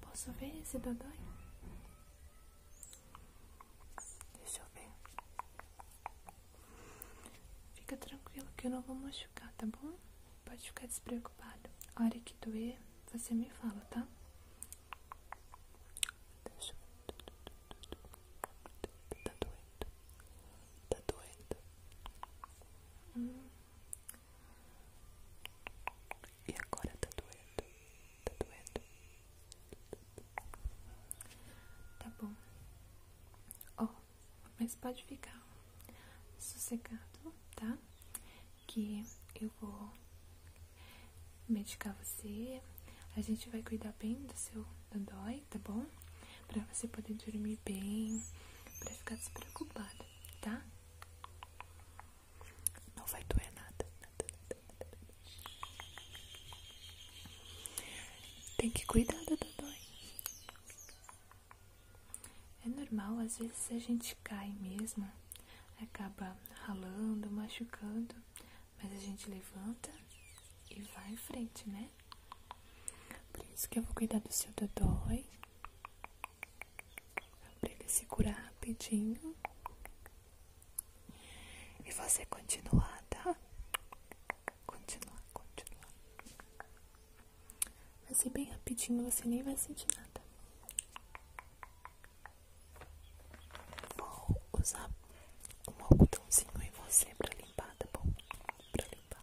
Posso ver esse dodói? Deixa eu ver. Fica tranquilo que eu não vou machucar, tá bom? Pode ficar despreocupado. A hora que doer, você me fala, tá? Deixa eu ver. Tá doendo. Tá doendo. Tá hum. E agora tá doendo, tá doendo. Tá bom. Ó, mas pode ficar sossegado, tá? Que eu vou medicar você. A gente vai cuidar bem do seu dodói, tá bom? para você poder dormir bem, para ficar despreocupada, tá? Não vai doer nada, nada, nada, nada. Tem que cuidar da dodói. É normal, às vezes a gente cai mesmo, acaba ralando, machucando, mas a gente levanta e vai em frente, né? Por isso que eu vou cuidar do seu dodói. Pra ele se curar rapidinho. E você continuar, tá? Continuar, continuar. Vai ser bem rapidinho, você nem vai sentir nada. Vou usar um botãozinho em você pra limpar, tá bom? Pra limpar.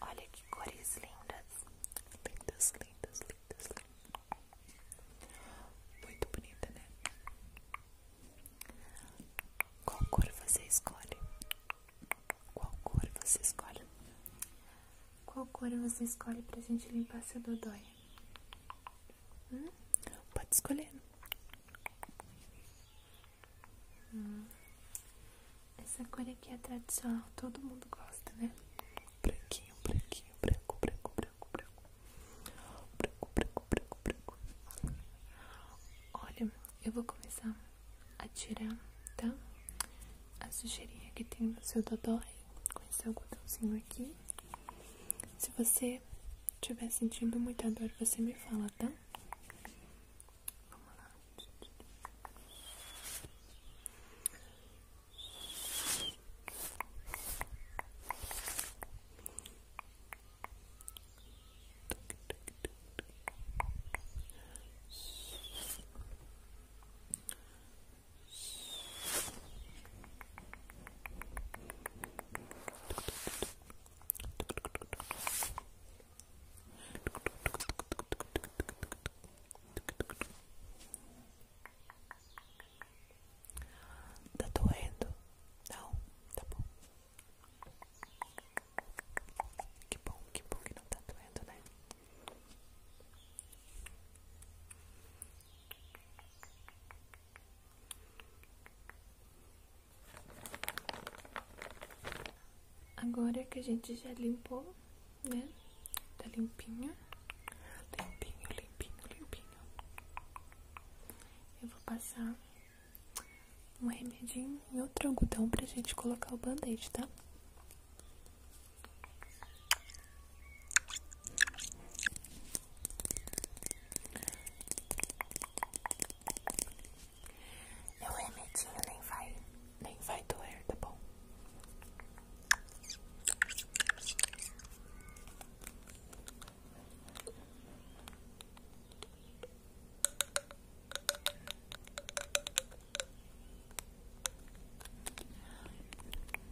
Olha que cores lindas. Lindas, lindas, lindas, lindas. Muito bonita, né? Qual cor você escolhe? Qual cor você escolhe? Qual cor você escolhe pra gente limpar seu dodói? Hum? Pode escolher. Hum. Essa cor aqui é tradicional, todo mundo gosta, né? Branquinho, branquinho, branco, branco, branco, branco. Branco, branco, branco, branco. Olha, eu vou começar a tirar, tá? A sujeirinha que tem no seu dodói. Com esse algodãozinho aqui. Se você tiver sentindo muita dor, você me fala, tá? Tá doendo? Não, tá bom. Que bom, que bom que não tá doendo, né? Agora que a gente já limpou, né? Tá limpinho. Limpinho, limpinho, limpinho. Eu vou passar um remedinho e outro algodão pra gente colocar o band-aid, tá? Meu remedinho nem vai, nem vai doer, tá bom?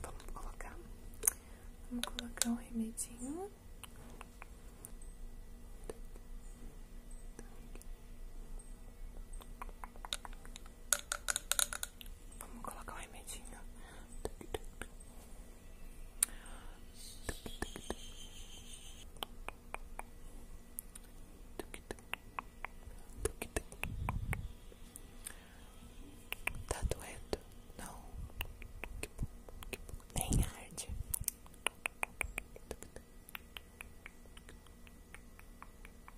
Vamos colocar, vamos colocar um remedinho. Vamos colocar o remedinho. Tá doendo? Não. Que bom, que bom. Nem arde. Tá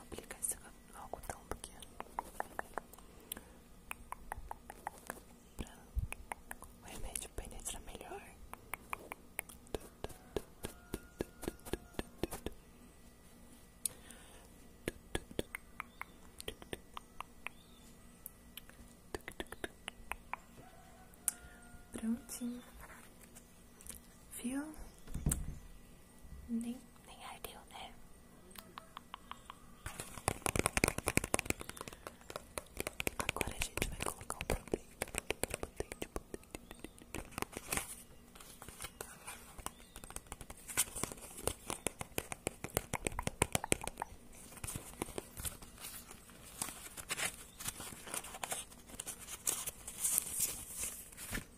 aplicar algo tão pequeno é pra o remédio penetrar melhor. Prontinho. Viu? Nem, nem ardeu, né? Agora a gente vai colocar um pouquinho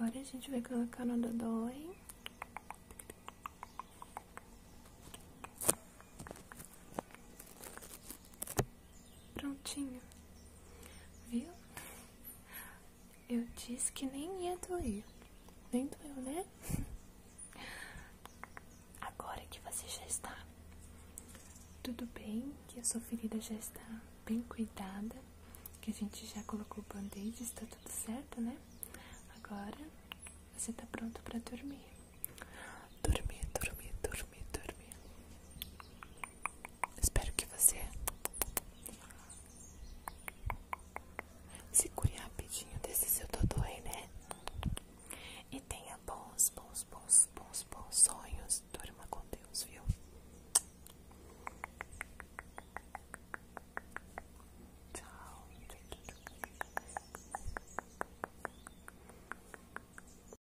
Agora a gente vai colocar no dodói. Prontinho. Viu? Eu disse que nem ia doer. Nem doeu, né? Agora que você já está tudo bem, que a sua ferida já está bem cuidada, que a gente já colocou o band-aid, está tudo certo, né? Agora você está pronto para dormir. Dormir, dormir, dormir, dormir. Espero que você se segure rapidinho desse seu dodô aí, né? E tenha bons, bons, bons, bons, bons sonhos. Durma com Deus, viu? Tchau.